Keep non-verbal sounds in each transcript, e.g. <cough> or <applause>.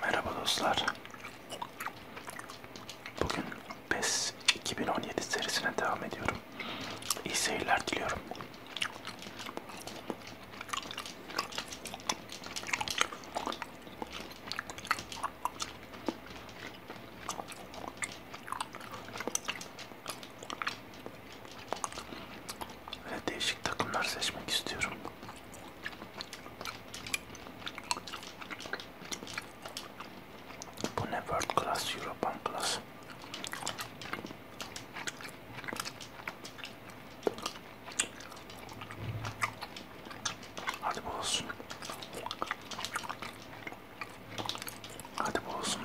Merhaba dostlar. Bugün PES 2017 serisine devam ediyorum. İyi seyirler diliyorum. Ve değişik takımlar seçmek istiyorum. Pune World Class, European Class. Hadi bulsun. Hadi bulsun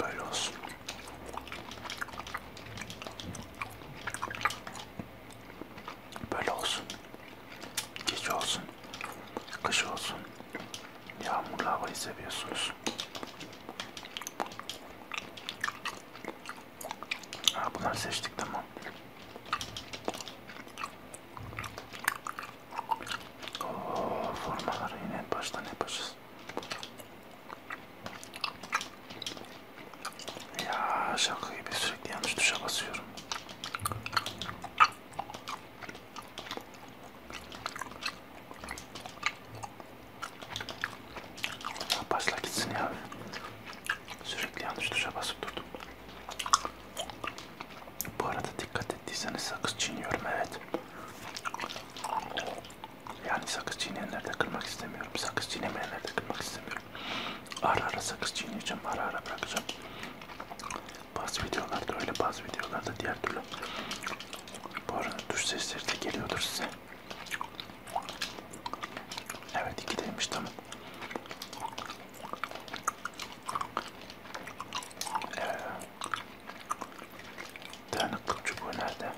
Böyle olsun. Böyle olsun. Gece olsun. Kış olsun. Yağmurlu havayı seviyorsunuz. Ha, bunları seçtik tamam. Oo, formaları yine en baştan yapacağız. Ya şaka gibi sürekli yanlış tuşa basıyorum. Başla gitsin ya. Sürekli yanlış tuşa basıp durdum. Bu arada dikkat ettiyseniz sakız çiğniyorum evet. Yani sakız çiğneyenleri de kırmak istemiyorum. Sakız çiğnemeyenleri de kırmak istemiyorum. Ara ara sakız çiğneyeceğim. Ara ara bırakacağım. Bazı videolarda öyle bazı videolarda diğer türlü. Bu arada duş sesleri de geliyordur size. Evet iki demiş tamam. Ee, dayanıklık çubuğu nerede?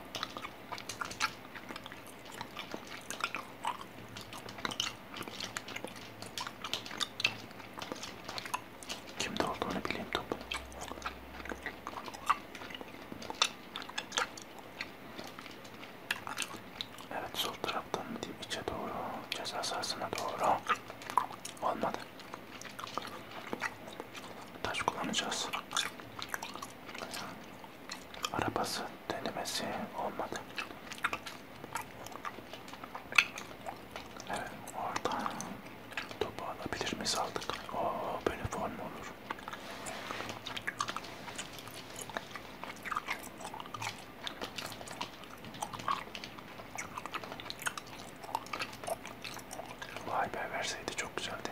Kimde olduğunu bileyim topu. Evet sol taraftan mı diyeyim içe doğru ceza sahasına doğru olmadı. Taş kullanacağız. Arabası denemesi olmadı. Evet oradan topu alabilir miyiz aldık. Oo böyle form olur. Vay be verseydi çok güzeldi.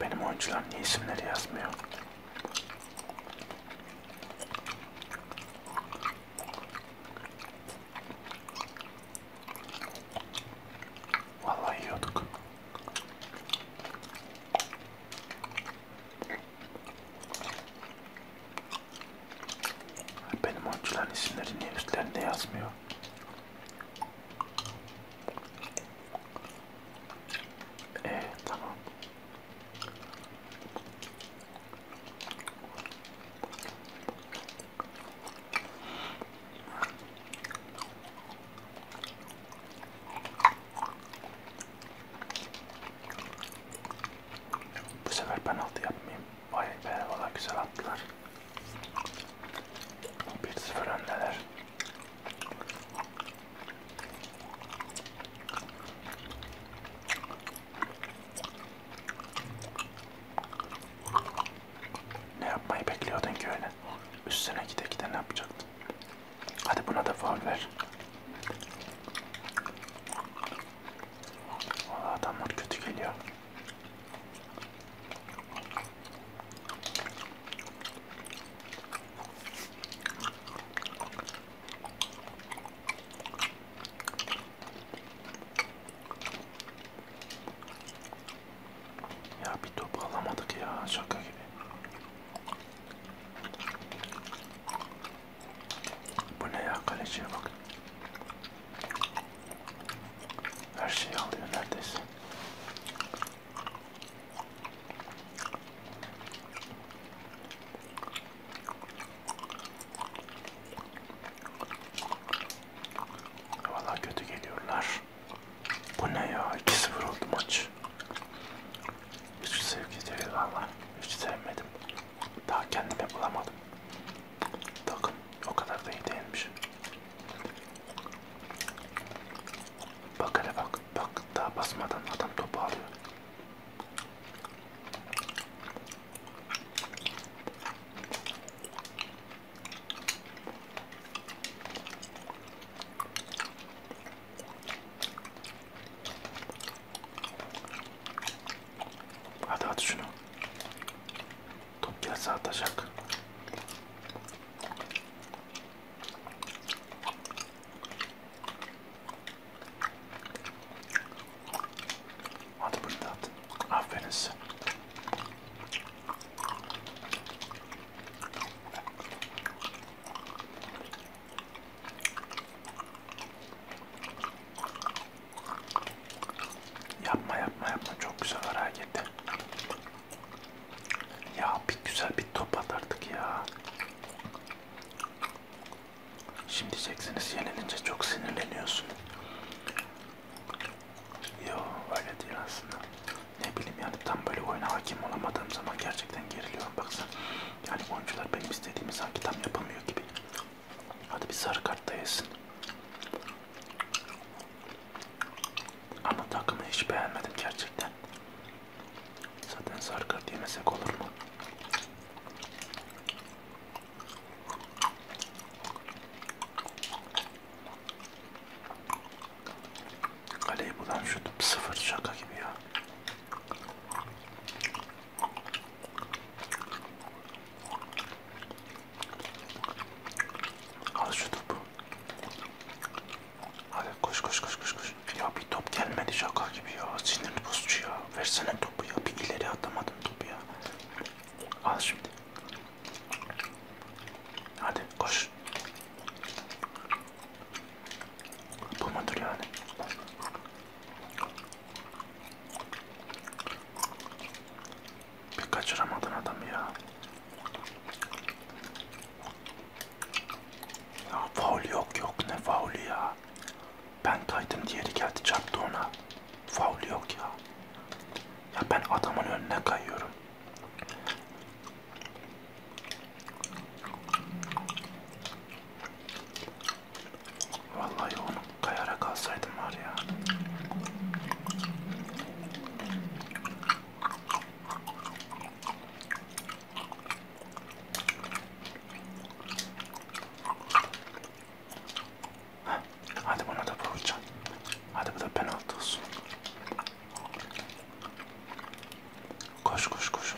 Benim oyuncular niye isimleri yazmıyor? Vallahi yiyorduk. Benim oyuncuların isimleri niye üstlerinde yazmıyor? Ee tamam. Bu sefer penaltı yapmayayım. Vay be valla güzel attılar. 1-0 öndeler. Ne yapmayı bekliyordun ki öyle? Üstüne gide gide ne yapacaktın? Hadi buna da faul ver. Valla adamlar kötü geliyor. Ya bir top alamadık ya şaka gibi. Bu ne ya kaleciye bak. Her şeyi alıyor neredeyse. Valla kötü geliyorlar. Bu ne ya? 2-0 oldu maç. Hiç sevgi değil valla. Hiç sevmedim. Daha kendimi bulamadım. Takım o kadar da iyi değilmiş. Bak hele bak. Bak daha basmadan adam topu alıyor. Hadi at şunu. Top gelse atacak. Hadi bunu da at. Aferin size. Yapma yapma yapma çok güzel hareketi. Ya bir güzel bir top atardık ya. Şimdi diyeceksiniz yenilince çok sinirleniyorsun. Yo öyle değil aslında. Ne bileyim yani tam böyle oyuna hakim olamadığım zaman gerçekten geriliyorum baksana. Yani oyuncular benim istediğimi sanki tam yapamıyor gibi. Hadi bir sarı kartta yesin. Ama takımı hiç beğenmedim gerçekten. Zaten sarı kart yemesek olur mu? Kaleyi buradan şutum sıfır şaka gibi ya. Al şu topu. Hadi koş koş koş koş koş. Ya bir top gelmedi şaka gibi ya. Sinir bozucu ya. Versene topu ya. Bir ileri atamadım topu ya. Al şimdi. Hadi koş. Bu mudur yani? Bir kaçıramadın adamı ya. Ya faul yok yok ne faulü ya. Ben kaydım diğeri geldi çarptı ona. Faul yok ya. Ya ben adamın önüne kayıyorum. Vallahi onu kayarak alsaydım var ya. Heh, hadi buna da vuracağım. Hadi bu da penaltı olsun. Koş koş koş.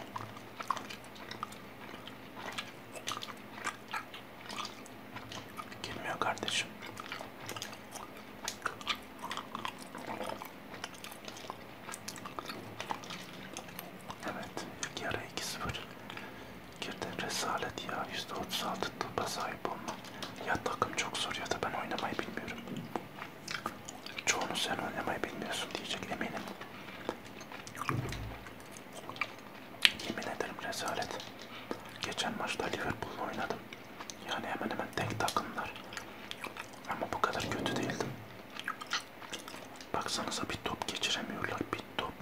Girmiyor kardeşim. Evet, ilk yarı 2-0. Girdim resalet ya. %36 tıpa sahip olma. Ya takım çok zor ya da ben oynamayı bilmiyorum. Çoğunu sen oynamayı bilmiyorsun diyecek eminim. Yemin ederim rezalet. Geçen maçta Liverpool'la oynadım. Yani hemen hemen tek takımlar. Ama bu kadar kötü değildim. Baksanıza bir top geçiremiyorlar. Bir top.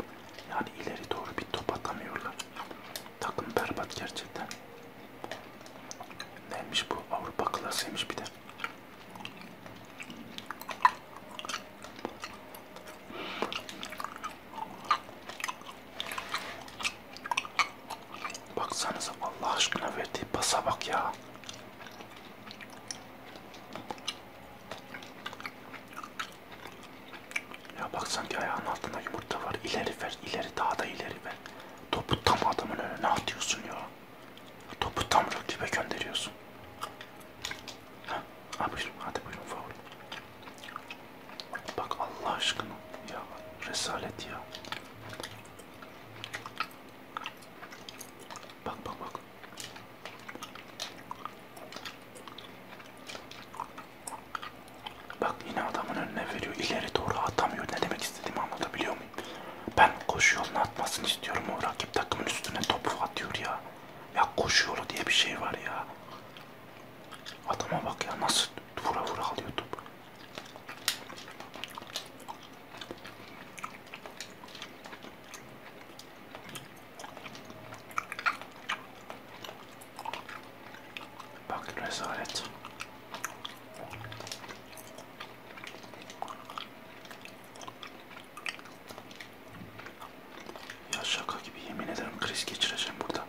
Yani ileri doğru bir top atamıyorlar. Takım berbat gerçekten. Neymiş bu? Avrupa klasıymış bir de. Baksanıza Allah aşkına verdiği pasa bak ya. Ya bak sanki ayağın altında yumurta var. İleri ver, ileri daha da ileri ver. Topu tam adamın önüne atıyorsun ya. Topu tam rakibe gönderiyorsun. Ha, ha buyurun, hadi buyurun favori. Bak Allah aşkına ya resalet ya. Bak bak bak. Bak yine adamın önüne veriyor. İleri doğru atamıyor. Ne demek istediğimi anlatabiliyor muyum? Ben koşu yolunu atmasını istiyorum o rakip takımın üstüne topu atıyor ya. Ya koşu yolu diye bir şey var ya. Adama bak ya nasıl vura vura alıyor topu. Bak rezalet. Ya şaka gibi yemin ederim kriz geçireceğim burada.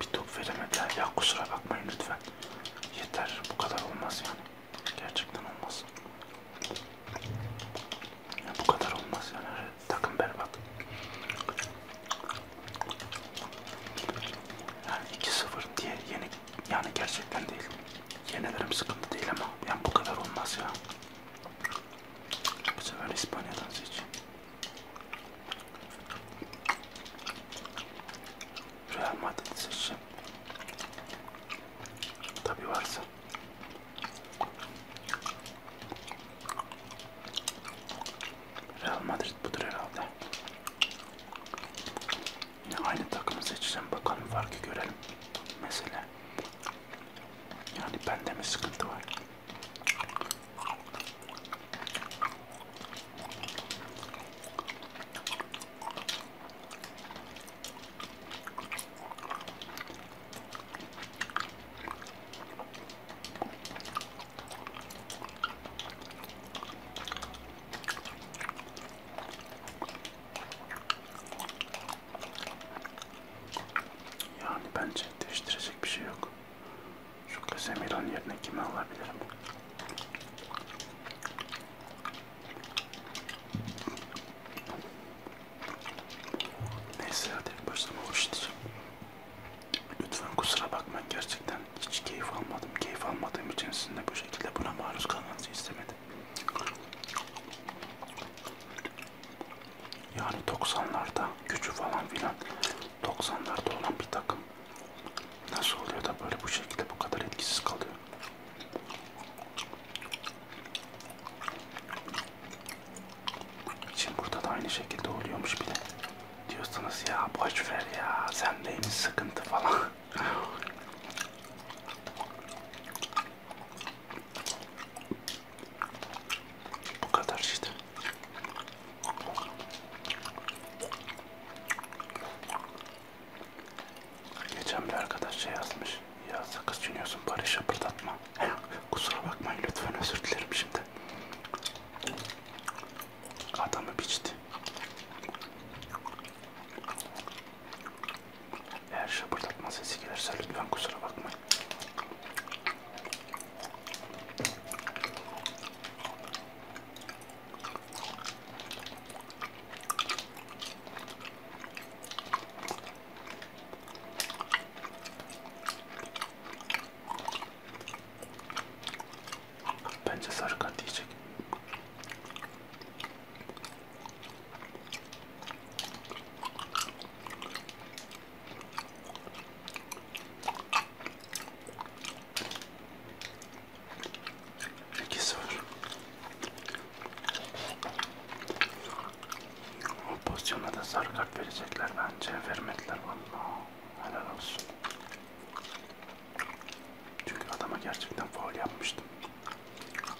Bir top veremediler ya kusura bakmayın lütfen. Yeter bu kadar olmaz yani. Gerçekten olmaz. Ya bu kadar olmaz yani takım berbat. Yani 2-0 diye yeni yani gerçekten değil. Yenilerim sıkıntı değil ama yani bu kadar olmaz ya. Bu sefer İspanya'dan seç. Real Madrid seçeceğim. Tabi varsa. Real Madrid budur herhalde aynı takımı seçeceğim bakalım farkı görelim mesela yani bende mi sıkıntı var yani bence değiştirecek bir şey yok. Şu Casemiro'nun yerine kimi alabilirim? Neyse hadi başlama hoştur. Lütfen kusura bakmayın gerçekten hiç keyif almadım. Keyif almadığım için sizin de bu şekilde buna maruz kalmanızı istemedim. Yani 90'larda gücü falan filan 90'larda olan bir takım nasıl oluyor da böyle bu şekilde bu kadar etkisiz kalıyor. Şimdi burada da aynı şekilde oluyormuş bile. Diyorsunuz ya boş ver ya sendeymiş sıkıntı falan. <laughs> Bu kadar işte. Geçen bir arkadaş şey yazmış. Ya sakız çiğniyorsun bari şapırdatma. <laughs> Kusura bakmayın lütfen özür dilerim şimdi. Adamı biçti. Eğer şapırdatma sesi gelirse lütfen kusura bakmayın. Bence sarı kart yiyecek. İki sıfır. O pozisyona da sarı kart verecekler bence. Vermediler vallahi. Helal olsun. Çünkü adama gerçekten faul yapmıştım.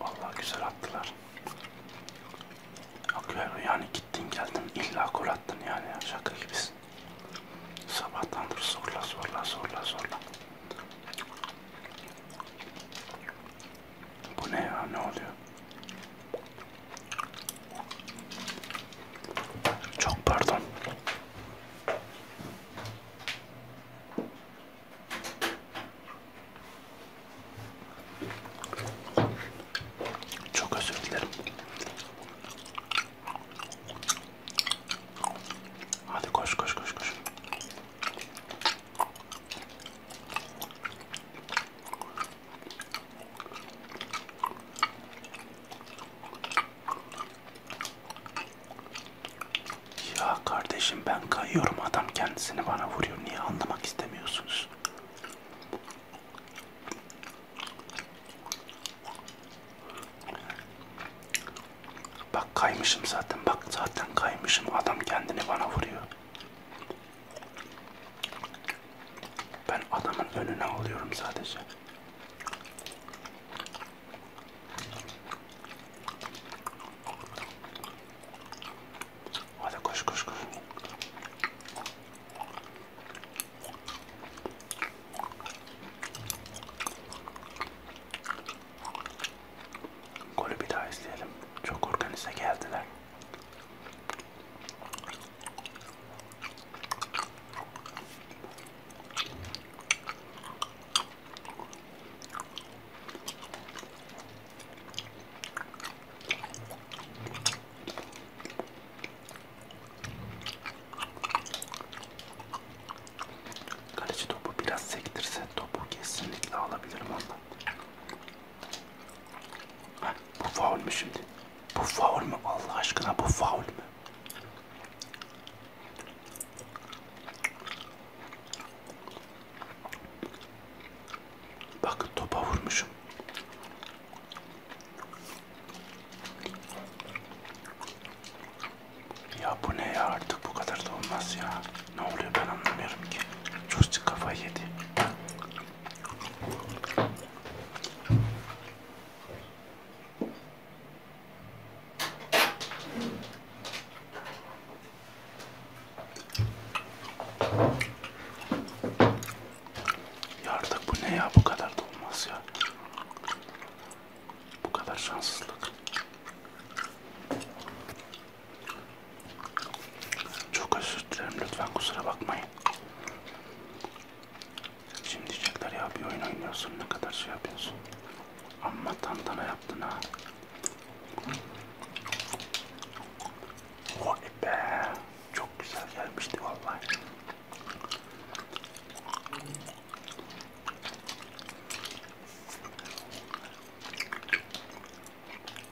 Allah güzel attılar. Akıyor yani gittin geldin illa gol attın yani şaka gibisin. Sabahtandır zorla zorla zorla zorla. Bu ne ya? Ne oluyor? Çok pardon. Çok özür dilerim. Hadi koş koş koş koş. Ya kardeşim ben kayıyorum adam kendisini bana vuruyor niye anlamak istemiyorsunuz? Bak kaymışım zaten bak zaten kaymışım adam kendini bana vuruyor. Ben adamın önüne alıyorum sadece. Hadi koş koş koş. Golü bir daha izleyelim. Çok organize geldiler. Kaleci topu biraz sektirse topu kesinlikle alabilirim ondan. Ha, bu faul mü şimdi? Bu faul mü? Allah aşkına bu faul mü? Bakın topa vurmuşum. Ya bu ne ya artık bu kadar da olmaz ya. Ne oluyor ben anlamıyorum ki. Çocuk kafayı yedi. Ya artık bu ne ya bu kadar da olmaz ya. Bu kadar şanssızlık. Çok özür dilerim lütfen kusura bakmayın. Şimdi diyecekler ya bir oyun oynuyorsun ne kadar şey yapıyorsun. Amma tantana yaptın ha. Vay be. Çok güzel gelmişti vallahi.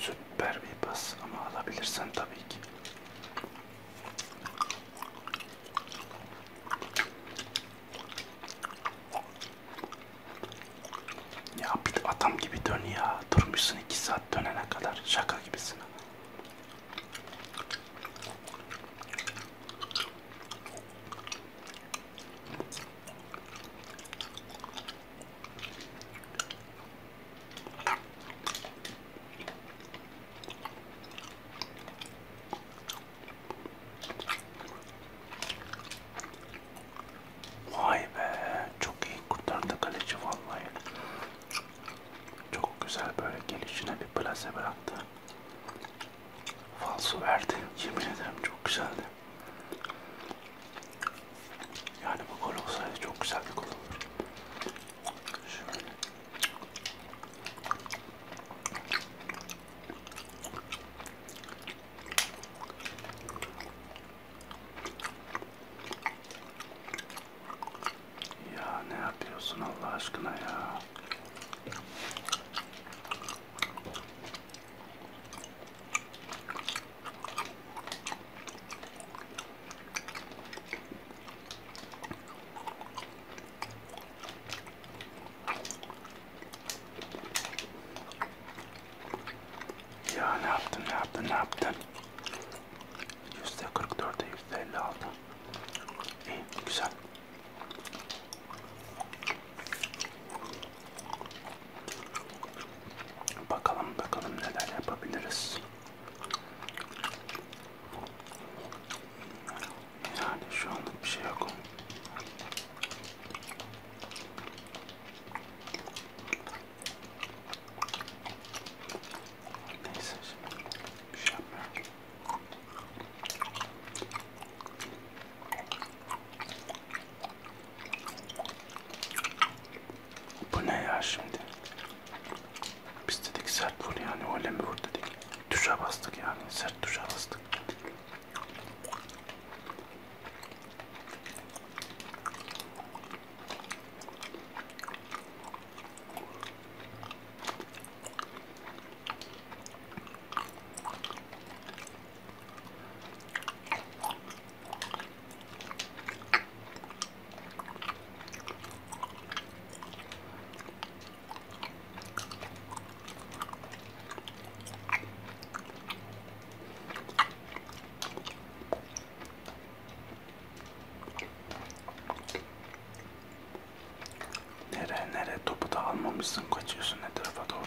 Süper bir bas ama alabilirsen tabii ki. Ya bir adam gibi dön ya. Durmuşsun iki saat dönene kadar. Şaka gibisin. Vay be, çok iyi kurtardı kaleci vallahi. Çok güzel böyle gelişine bir plase bıraktı. Falso verdi. Yemin ederim çok güzeldi. Yani bu gol olsaydı çok güzel bir gol olurdu. Şöyle. Ya ne yapıyorsun Allah aşkına ya? Ya ne yaptın ne yaptın ne yaptın? Yüzde 44'e yüzde 56. İyi güzel. Bakalım bakalım neler yapabiliriz. Yani şu anlık bir şey yok. Neyse şimdi bir şey yapmıyorum. Bu ne ya şimdi? Biz dedik sert vur yani öyle mi vur dedik. Tuşa bastık yani sert tuşa bastık. Nereye nereye topu da almamışsın kaçıyorsun etrafa doğru.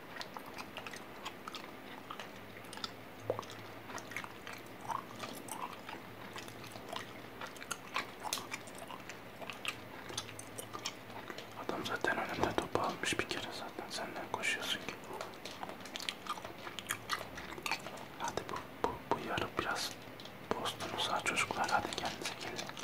Adam zaten önümde topu almış bir kere zaten senden koşuyorsun ki. Hadi bu, bu, bu yarı biraz postunu sağ çocuklar hadi kendinize gelin.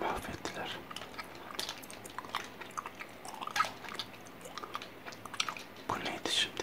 Mahvettiler. Bu neydi şimdi?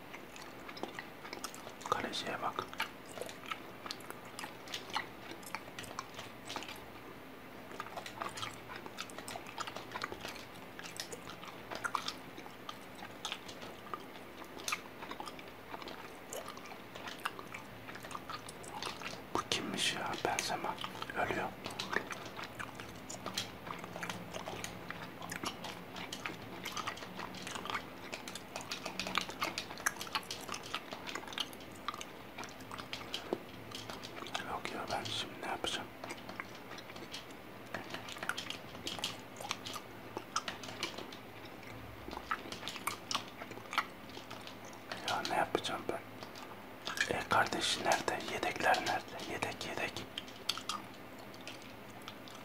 Kaleciye bak. Bu kimmiş ya? Benzeme. Ölüyor. Yok ya ben şimdi ne yapacağım? Ya ne yapacağım ben? E kardeşi nerede? Yedekler nerede? Yedek yedek.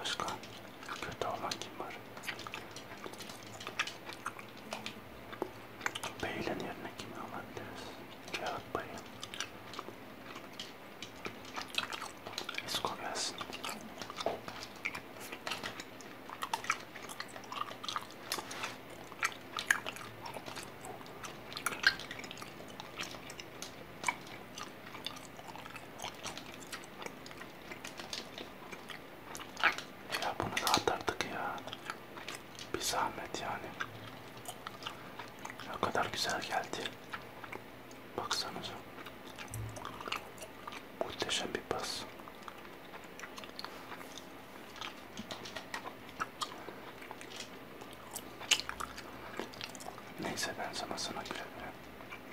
Başka kötü olan kim var? Bey'in yerine kimi alabiliriz? Kağıt Bey'i. Esko gelsin. Ya bunu da atardık ya. Bir zahmet yani. Ne kadar güzel geldi. Baksanıza. Muhteşem bir pas. Neyse ben sana sana güle güle.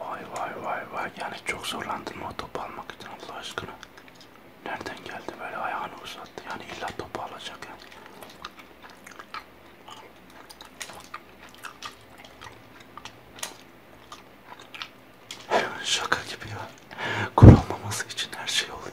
Vay vay vay vay yani çok zorlandın mı o topu almak için Allah aşkına. Nereden geldi böyle ayağını uzattı yani illa topu alacak yani. Şaka gibi ya. Kurulmaması için her şey oluyor.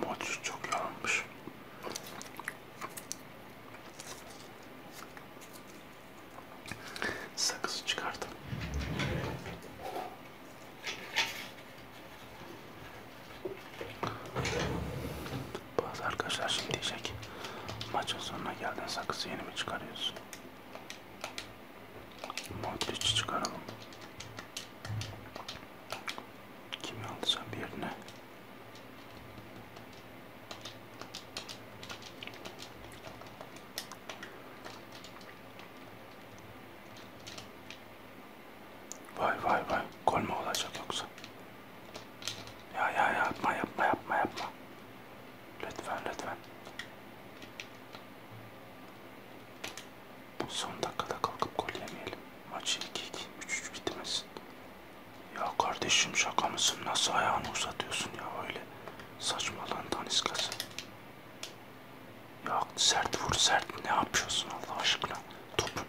Mochi çok yanmış. Sakızı çıkardım. Bazı arkadaşlar şimdi diyecek maçın sonuna geldin sakızı yeni mi çıkarıyorsun? Modric çıkaralım. Kimi alacağım yerine? Vay vay vay. Gol mü olacak yoksa? Ya ya yapma yapma yapma yapma. Lütfen lütfen. Bu son dakikada kalkıp gol yemeyelim. Maç 2-2, 3-3 bitmesin. Ya kardeşim şaka mısın? Nasıl ayağını uzatıyorsun ya öyle? Saçmalığın daniskası. Ya sert vur sert. Ne yapıyorsun Allah aşkına? Topun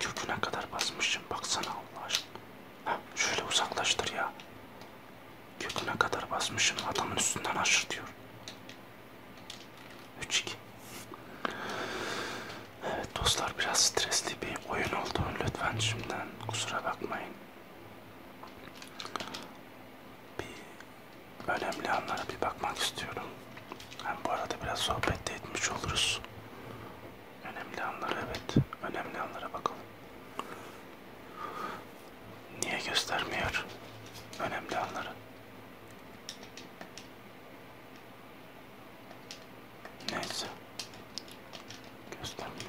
köküne kadar basmışım. Baksana Allah aşkına. Heh, şöyle uzaklaştır ya. Köküne kadar basmışım. Adamın üstünden aşır diyor. 3-2 Evet dostlar biraz stresli bir oyun oldu. Lütfen şimdiden kusura bakmayın. Bir önemli anlara bir bakmak istiyorum. Hem bu arada biraz sohbet de etmiş oluruz. Önemli anlara evet. Önemli anlara bakalım. Niye göstermiyor önemli anları? Neyse. Göstermiyor.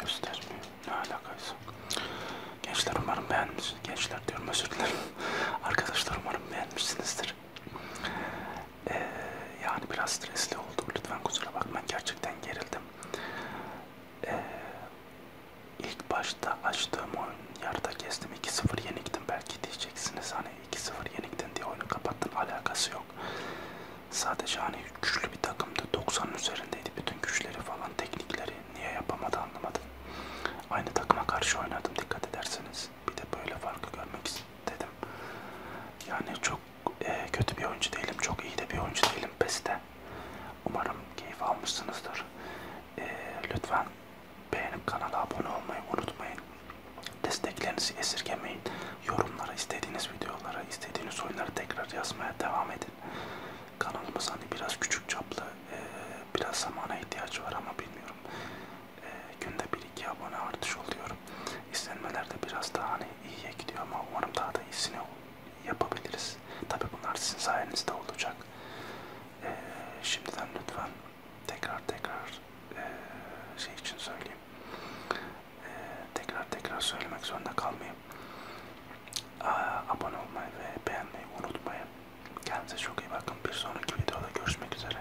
Göstermiyor. Ne alakaysa. Gençler umarım beğenmişsiniz. Gençler diyorum özür dilerim. <laughs> Arkadaşlar umarım beğenmişsinizdir. Ee, yani biraz stresli oldu. Lütfen kusura bakmayın. Gerçekten gerildim. Ee, ilk başta açtığım oyun yarıda kestim. 2-0 yeniktim. Belki diyeceksiniz hani 2-0 yeniktin diye oyunu kapattın. Alakası yok. Sadece hani güçlü bir takımdı. 90'ın üzerindeydi. Bütün güçleri falan, teknikleri niye yapamadı anlamadım. Aynı takıma karşı oynadım dikkat ederseniz. Bir de böyle farkı görmek istedim. Yani çok e, kötü bir oyuncu değilim. Çok iyi de bir oyuncu değilim PES'te. Umarım keyif almışsınızdır. E, lütfen beğenip kanala abone olmayı unutmayın. Desteklerinizi esirgemeyin. Yorumlara, istediğiniz videolara, istediğiniz oyunları tekrar yazmaya devam edin. Kanalımız hani biraz küçük çaplı, e, biraz zamana ihtiyacı var ama bilmiyorum e, günde 1-2 abone artış oluyor. İzlenmelerde biraz daha hani iyiye gidiyor ama umarım daha da iyisini yapabiliriz. Tabi bunlar sizin sayenizde olacak. E, şimdiden lütfen tekrar tekrar e, şey için söyleyeyim. E, tekrar tekrar söylemek zorunda kalmayayım. Aa, abone olmayı ve beğenmeyi unutmayın. Kendinize çok iyi bakın. Bir sonraki videoda görüşmek üzere.